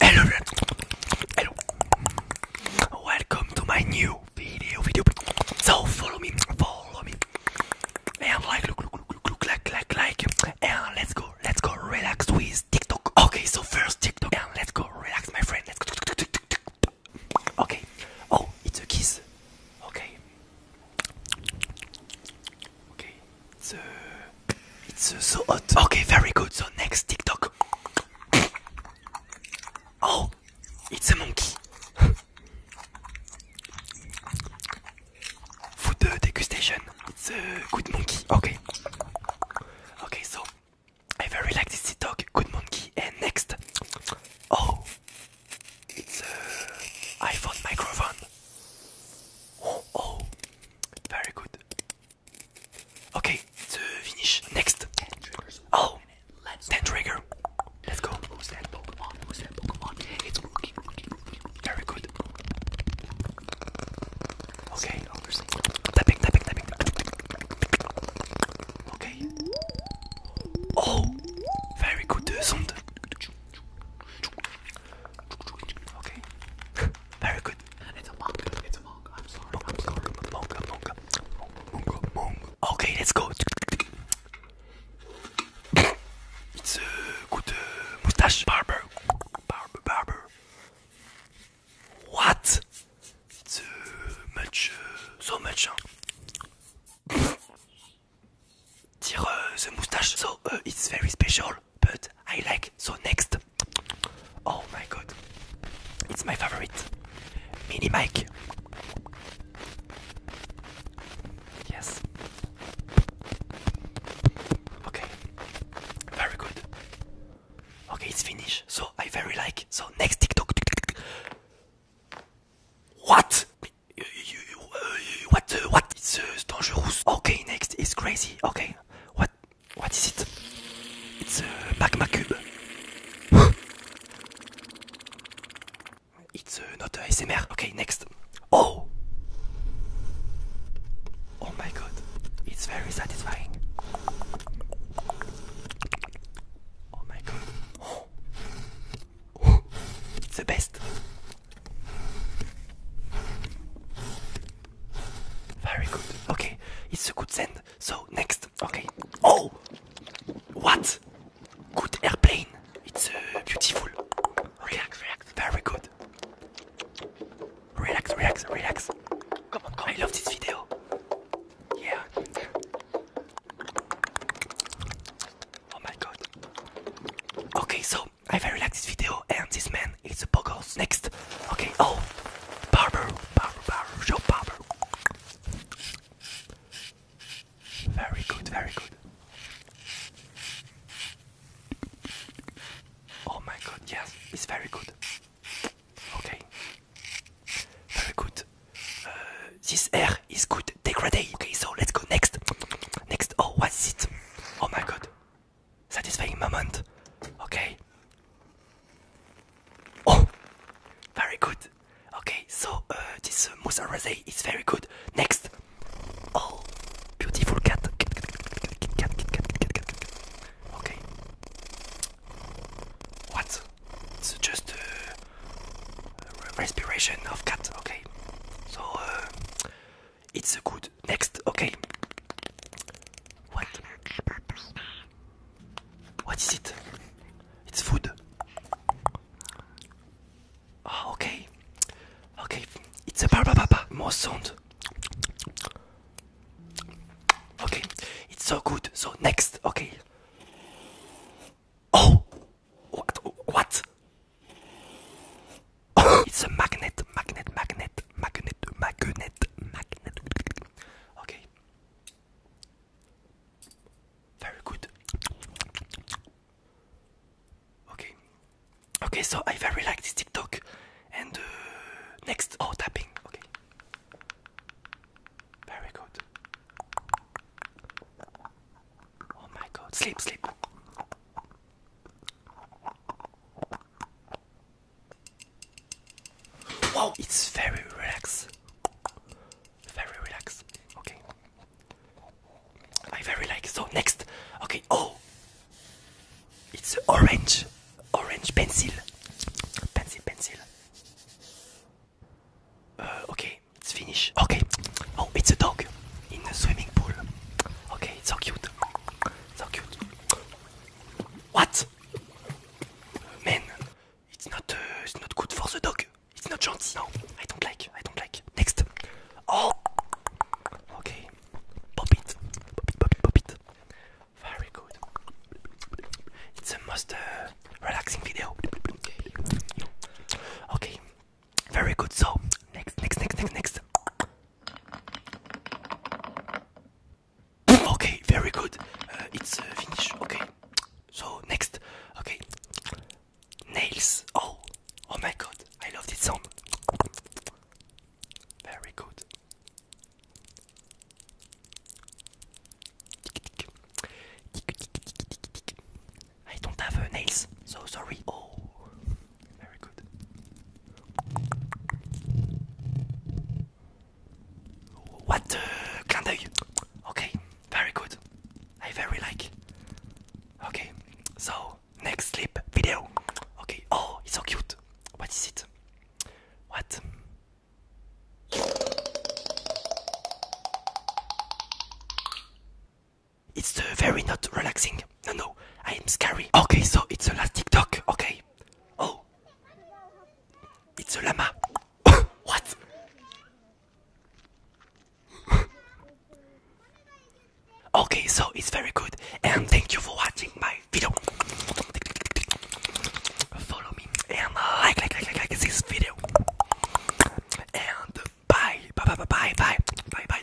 Hello, hello. Welcome to my new video. Video. So follow me, follow me, and like, look, look, look, look, like, like, like, and let's go, let's go, relax with TikTok. Okay, so first TikTok, and let's go, relax, my friend. Let's go. Okay. Oh, it's a kiss. Okay. Okay. The it's uh, so hot. Okay, very good. So next TikTok. Oh, it's a monkey. Food uh, degustation. It's a good monkey. Okay. Okay, so I very like this TikTok. Good monkey. And next. Oh, it's a uh, iPhone microphone. oh, oh. very good. Okay, the finish. Next. Ten Oh, let's ten trigger. Let's go. Who's that Pokemon? Who's Pokemon? It's Rookie, Rookie, Rookie. Very good. Okay. Tapping, tapping, tapping. Okay. Oh, very good Okay. Very good. It's a manga. It's a manga. I'm sorry. Manga, I'm sorry. Manga, manga, manga, manga. Okay, let's go. It's a uh, good uh, mustache barber. Barber, barber. What? It's uh, much, uh, so much. Huh? the mustache. So it's very special but I like. So next, oh my god, it's my favorite, mini mic. Yes. Okay. Very good. Okay, it's finished. So I very like. So next TikTok. What? Uh, what? Uh, what? It's uh, dangerous. Okay, next is crazy. Okay, what? What is it? It's a magma cube. it's uh, not a ASMR. Okay, next. Oh! Oh my god. It's very satisfying. Oh my god. Oh. It's the best. Very good. Okay, it's a good send. So next, okay. Oh, what? Good airplane. It's uh, beautiful. Relax, okay. relax. Very good. Relax, relax, relax. Come on, come on. I love this video. Yeah. Oh my god. Okay, so I very like this video and this man it's Poggles. Next. Okay, oh. Barber, barber, barber, show barber. Very good, very good. Oh my god, yes, it's very good. Okay. Very good. Uh, this air is good. Degradé. Okay, so let's go next. Next. Oh, what's it? Oh my god satisfying moment. Okay. Oh, very good. Okay, so this uh, Musaraze is very good. Next. Oh, beautiful cat. Okay. What? It's just a respiration of cat. Okay. So it's good. Next, okay. What? What is it? It's food. Oh, okay. Okay, it's a baba baba. More sound. Okay, it's so good. So next, okay. Oh, what? What? it's a magnet, magnet, magnet, magnet, magnet, magnet. Okay. Very good. Okay. Okay, so I very like this TikTok. And uh, next, oh, tapping. Okay. Very good. Oh my god, sleep, sleep. Wow, it's very relaxed. Very relaxed. Okay. I very like so next. Okay. Oh. It's orange. Orange pencil. Pencil, pencil. Uh, okay, it's finished. Okay. Oh, it's a dog in the swimming pool. Okay, it's so cute. So cute. What? Man, it's not, uh, it's not good for the dog. It's not gentle. No, I don't like. I don't like. Next. Oh. Okay. Pop it. Pop it. Pop it. Pop it. Very good. It's a most uh, relaxing video. Okay. Very good. So next, next, next, next, next. Okay, very good. Uh, it's uh, finished. Okay. So next, okay, nails. Oh, oh my God! I love this song. Very good. I don't have uh, nails, so sorry. Oh, very good. What? Uh, Clin Okay, very good. I very like. Okay, so next sleep video. Okay, oh, it's so cute. What is it? What? It's the uh, very not relaxing no, no, I am scary. Okay, so it's the last TikTok. Okay. Oh, it's a llama. what? okay, so it's very good, and thank you for watching my video. Follow me and like, like, like, like, like this video. And bye, bye, bye, bye, bye, bye. bye.